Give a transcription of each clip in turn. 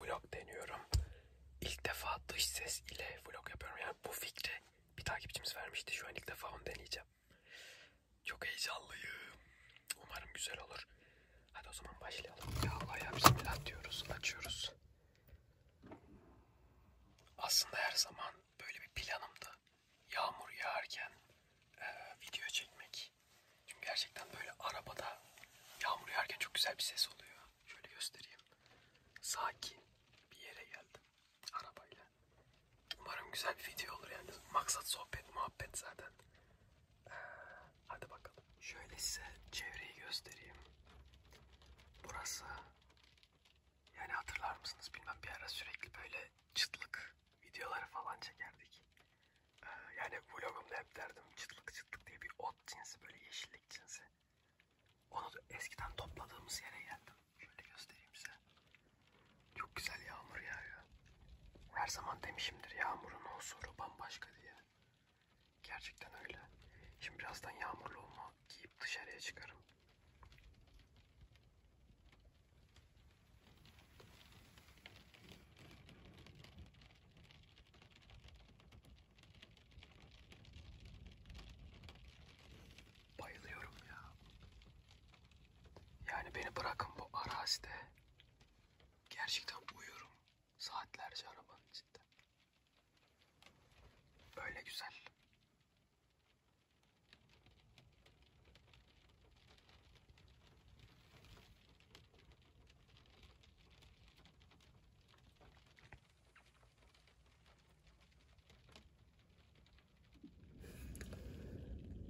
vlog deniyorum. İlk defa dış ses ile vlog yapıyorum. Yani bu fikri bir takipçimiz vermişti. Şu an ilk defa onu deneyeceğim. Çok heyecanlıyım. Umarım güzel olur. Hadi o zaman başlayalım. Ya Allah ya bismillah diyoruz. Açıyoruz. Aslında her zaman böyle bir planımdı. Yağmur yağarken e, video çekmek. Çünkü gerçekten böyle arabada yağmur yağarken çok güzel bir ses oluyor. Şöyle göstereyim. Sakin bir yere geldim arabayla. Umarım güzel bir video olur yani. Maksat sohbet, muhabbet zaten. Ee, hadi bakalım. Şöyle size çevreyi göstereyim. Burası yani hatırlar mısınız bilmem bir ara sürekli böyle çıtlık videoları falan çekerdik. Ee, yani vlogumda hep derdim çıtlık sıklık diye bir ot cinsi böyle yeşillik cinsi. Onu da eskiden topladığımız yere geldim. Şöyle göstereyim size. Çok güzel yağmur yağıyor. Her zaman demişimdir yağmurun huzuru bambaşka diye. Gerçekten öyle. Şimdi birazdan yağmurluğumu giyip dışarıya çıkarım. Bayılıyorum ya. Yani beni bırakın bu arazide. Gerçekten uyuyorum. Saatlerce arabanın içinde. Öyle güzel.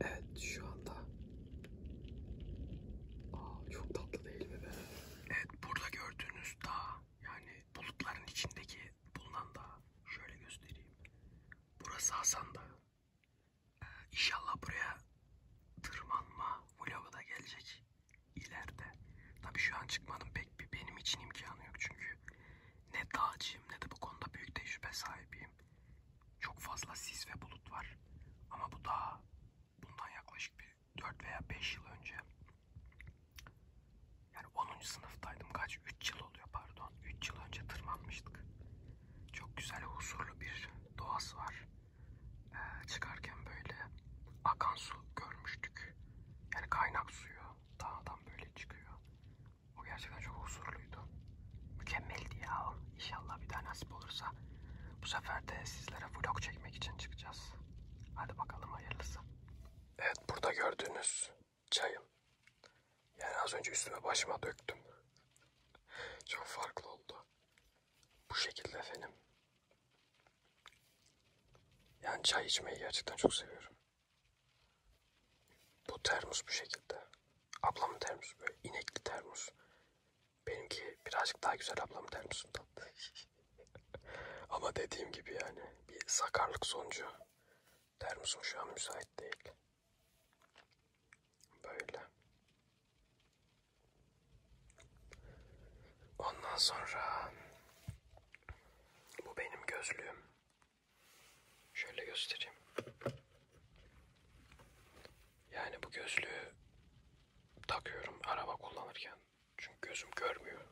Evet şu anda Aa, çok tatlı değil mi be? Evet burada gördüğünüz dağ yani bulutların içindeki bulunan dağ şöyle göstereyim. Burası Hasan Dağı. Ee, inşallah buraya tırmanma vlogu da gelecek ileride. Tabii şu an çıkmanın pek bir benim için imkanı yok çünkü ne dağcıyım ne de bu konuda büyük tecrübe sahibiyim. Çok fazla sis ve bulut var. Ama bu daha bundan yaklaşık bir 4 veya 5 yıl önce. Yani 10. sınıftaydım. Kaç? 3 yıl oluyor pardon. 3 yıl önce tırmanmıştık. Çok güzel huzurlu bir doğası var e, çıkarken böyle akan su görmüştük. Yani kaynak suyu dağdan böyle çıkıyor. O gerçekten çok huzurluydu. Mükemmeldi ya. İnşallah bir daha nasip olursa bu sefer de sizlere vlog çekmek için çıkacağız. Hadi bakalım hayırlısı. Evet burada gördüğünüz çayım. Yani az önce üstüme başıma döktüm. Çok farklı oldu. Bu şekilde efendim. Yani çay içmeyi gerçekten çok seviyorum. Bu termos bu şekilde. Ablamın termosu böyle inekli termos. Benimki birazcık daha güzel ablamın termosundan. Ama dediğim gibi yani bir sakarlık sonucu termosum şu an müsait değil. Böyle. Ondan sonra bu benim gözlüğüm. Şöyle göstereyim. Yani bu gözlüğü takıyorum araba kullanırken. Çünkü gözüm görmüyor.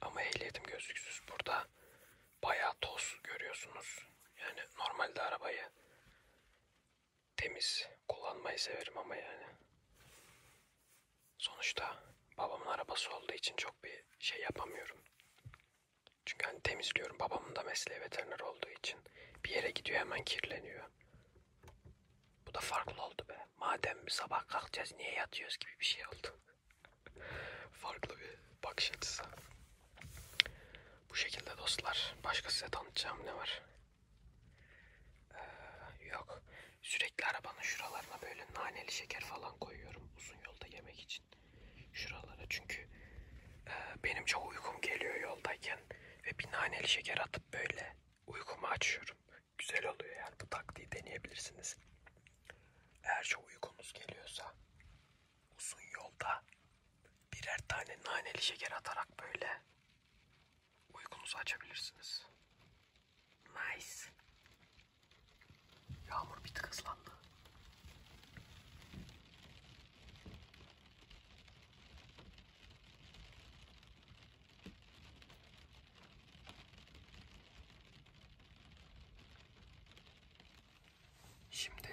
Ama ehliyetim gözlüksüz. Burada bayağı toz görüyorsunuz. Yani normalde arabayı temiz kullanmayı severim ama yani. Sonuçta babamın arabası olduğu için çok bir şey yapamıyorum. Çünkü hani temizliyorum. Babamın da mesleği veteriner olduğu için bir yere gidiyor hemen kirleniyor. Bu da farklı oldu be. Madem bir sabah kalkacağız niye yatıyoruz gibi bir şey oldu. farklı bir bakış açısı. Bu şekilde dostlar. Başka size tanıtacağım ne var? Ee, yok. Sürekli arabanın şuralarına böyle naneli şeker falan koyuyorum uzun yolda yemek için. Şuralara çünkü e, benim çok uykum geliyor yoldayken ve bir naneli şeker atıp böyle uykumu açıyorum. Güzel oluyor yani bu taktiği deneyebilirsiniz. Eğer çok uykunuz geliyorsa uzun yolda birer tane naneli şeker atarak böyle uykunuzu açabilirsiniz. Nice. Yağmur bir tık hızlandı. Şimdi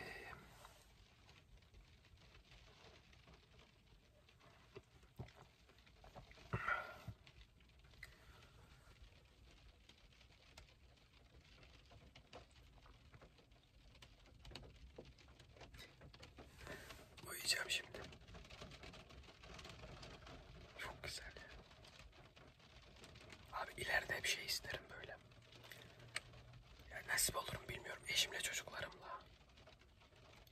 Uyuyacağım şimdi. Çok güzel. Abi ileride bir şey isterim böyle. Ya nasip olur mu bilmiyorum. Eşimle çocuklarımla.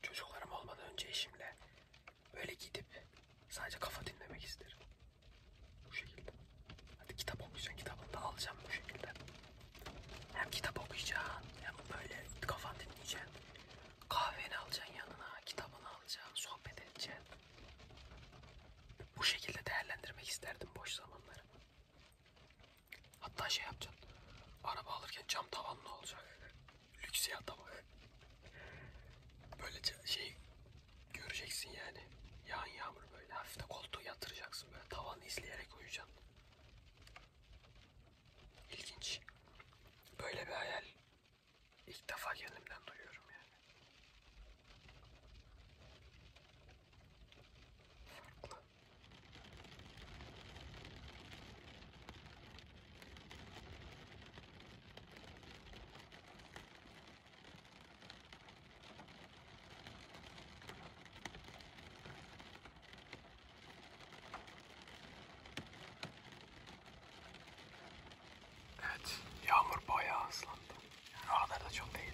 Çocuklarım olmadan önce eşimle böyle gidip sadece kafa dinlemek isterim. Bu şekilde. Hadi kitap okuyacaksın. Kitabını da alacağım bu şekilde. Hem kitap okuyacaksın hem böyle kafan dinleyeceksin. Kahveni alacaksın yanına, kitabını alacaksın, sohbet edeceksin. Bu şekilde değerlendirmek isterdim boş zamanları. Hatta şey yapacaksın. Araba alırken cam tavanlı olacak. Lüks yata bak. Böylece şey göreceksin yani. Yağan yağmur böyle hafif de koltuğu yatıracaksın böyle tavanı izleyerek uyuyacaksın. İlginç. Böyle bir hayal ilk defa kendimden duyuyorum yani. Farklı. Evet, yağmur bayağı hızlandı. Yani o kadar da çok değildi.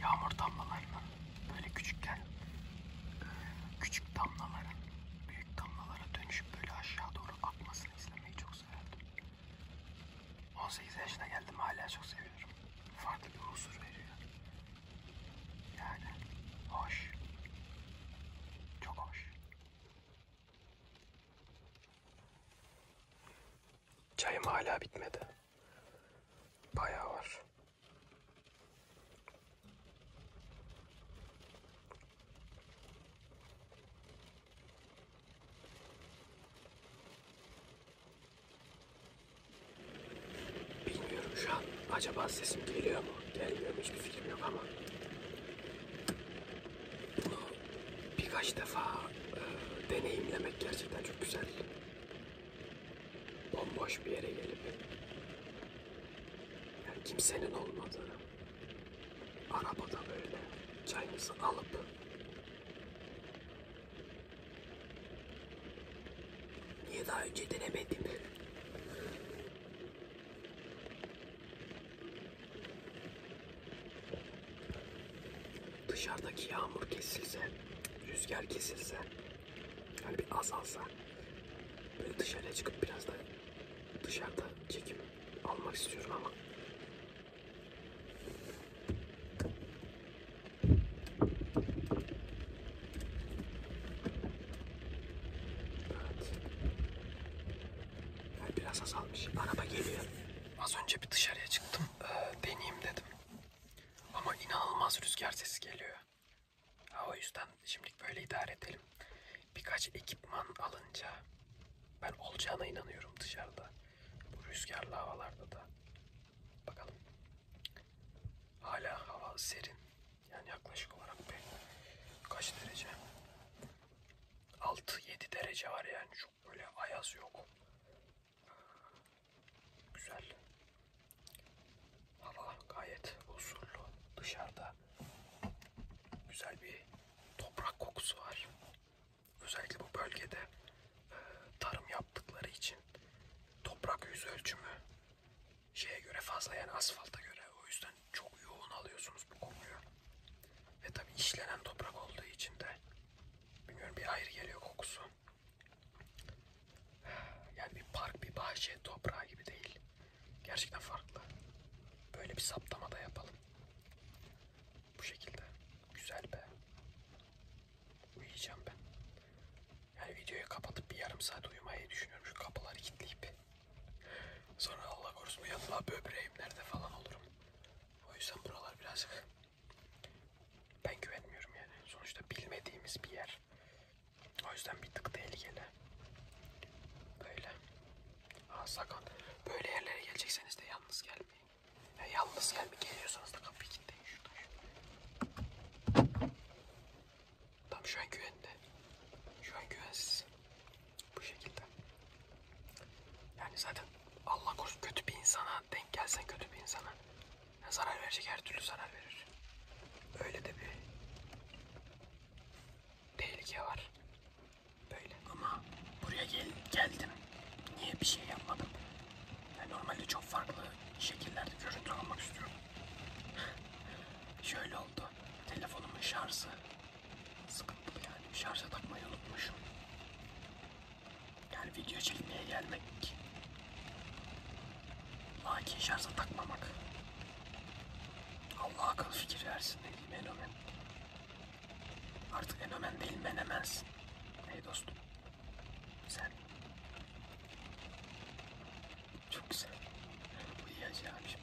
yağmur damlalarının böyle küçükken küçük damlaların büyük damlalara dönüşüp böyle aşağı doğru akmasını izlemeyi çok severdim. 18 yaşına geldim hala çok seviyorum. Farklı bir huzur veriyor. Yani hoş. Çok hoş. Çayım hala bitmedi. Bayağı var. Bilmiyorum şu an. Acaba sesim geliyor mu? Gelmiyor mu? Hiçbir fikrim yok ama. Bunu birkaç defa e, deneyimlemek gerçekten çok güzel bomboş bir yere gelip yani kimsenin olmadığı arabada böyle çayınızı alıp niye daha önce denemedim dışarıdaki yağmur kesilse rüzgar kesilse hani bir azalsa böyle dışarıya çıkıp biraz da dışarıda çekim almak istiyorum ama evet. yani biraz azalmış araba geliyor az önce bir dışarıya çıktım ee, deneyeyim dedim ama inanılmaz rüzgar sesi geliyor. Ha, o yüzden şimdilik böyle idare edelim. Birkaç ekipman alınca ben olacağına inanıyorum dışarıda. Bu rüzgarlı havalarda da. Bakalım. Hala hava serin. Yani yaklaşık olarak bir kaç derece? 6-7 derece var yani. Çok böyle ayaz yok. Güzel. Hava gayet huzurlu. Dışarıda güzel bir toprak kokusu var. Özellikle bu bölgede e, tarım yaptıkları için toprak yüz ölçümü şeye göre fazla yani asfalta göre o yüzden çok yoğun alıyorsunuz bu kokuyu. Ve tabi işlenen toprak olduğu için de bilmiyorum bir ayrı geliyor kokusu. Yani bir park, bir bahçe, toprağı gibi değil. Gerçekten farklı. Böyle bir saptama da yapalım. Bu şekilde. Güzel be. Uyuyacağım ben. Yani videoyu kapatıp bir yarım saat uyumayı düşünüyorum. Şu kapıları kilitleyip. Sonra Allah korusun yanına böbreğim nerede falan olurum. O yüzden buralar birazcık ben güvenmiyorum yani. Sonuçta bilmediğimiz bir yer. O yüzden bir tık tehlikeli. Böyle. Ha sakın. Böyle yerlere gelecekseniz de yalnız gelmeyin. Ya yalnız gelme geliyorsanız da kapıyı kilitleyin şuradan. Tam şu an güvende. Şu an güvensiz. Bu şekilde. Yani zaten Allah korusun kötü bir insana denk gelsen kötü bir insana Zarar verecek her türlü zarar verir. Öyle de bir tehlike var. Böyle ama buraya gel geldim. Niye bir şey yapmadım? Ben normalde çok farklı şekillerde görüntü almak istiyorum. Şöyle oldu. Telefonumun şarjı sıkıntılı yani. Şarja takmayı unutmuşum. Yani video çekmeye gelmek. Lakin şarja takmamak. Allah akıl fikir versin ne diyeyim Enomen. Artık Enomen değil Menemensin. Hey dostum. Sen. Çok güzel. Uyuyacağım şimdi.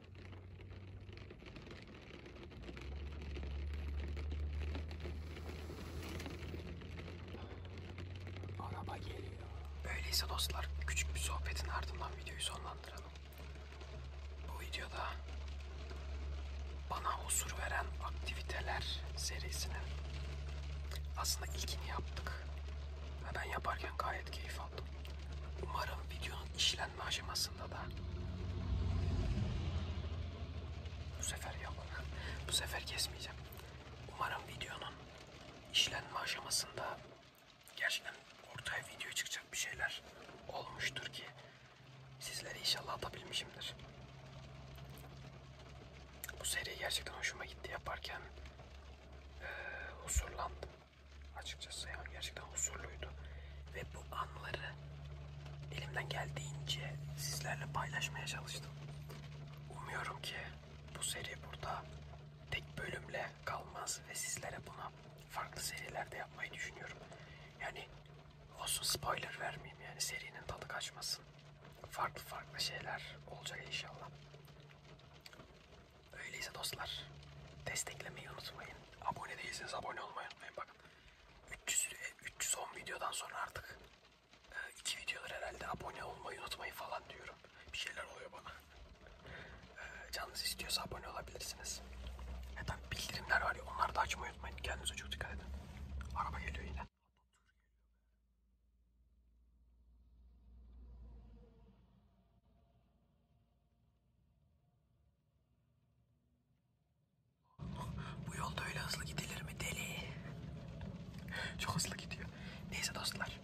Araba geliyor. Öyleyse dostlar küçük bir sohbetin ardından videoyu sonlandıralım. Bu videoda bana huzur veren aktiviteler serisinin aslında ilkini yaptık. Ve ben yaparken gayet keyif aldım. Umarım videonun işlenmesi öğrenme aşamasında da bu sefer yok. bu sefer kesmeyeceğim. Umarım videonun işlenme aşamasında gerçekten ortaya video çıkacak bir şeyler olmuştur ki sizlere inşallah atabilmişimdir. Bu seri gerçekten hoşuma gitti yaparken ee, husurlandım. Açıkçası yani gerçekten huzurluydu. Ve bu anları elimden geldiğince sizlerle paylaşmaya çalıştım. Umuyorum ki bu seri burada tek bölümle kalmaz ve sizlere buna farklı serilerde yapmayı düşünüyorum. Yani olsun spoiler vermeyeyim yani serinin tadı kaçmasın. Farklı farklı şeyler olacak inşallah. Öyleyse dostlar desteklemeyi unutmayın. Abone değilseniz abone olmayı unutmayın. Bakın 300, 310 e, videodan sonra artık 2 e, videodur herhalde abone olmayı unutmayın falan diyorum. Bir şeyler oluyor bana. E, canınız istiyorsa abone olabilirsiniz. E tabi bildirimler var ya onları da açmayı unutmayın. Kendinize çok dikkat edin. Araba geliyor yine. Bu yolda öyle hızlı gidilir mi deli? Çok hızlı gidiyor. Neyse dostlar.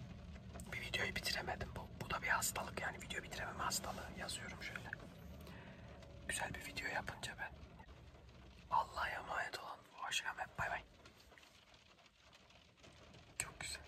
Bir videoyu bitiremedim. Bu, bu da bir hastalık yani video bitirememe hastalığı yazıyorum şöyle. Güzel bir video yapınca ben. Allah'a emanet olun. Hoşçakalın. Bay bay. Çok güzel.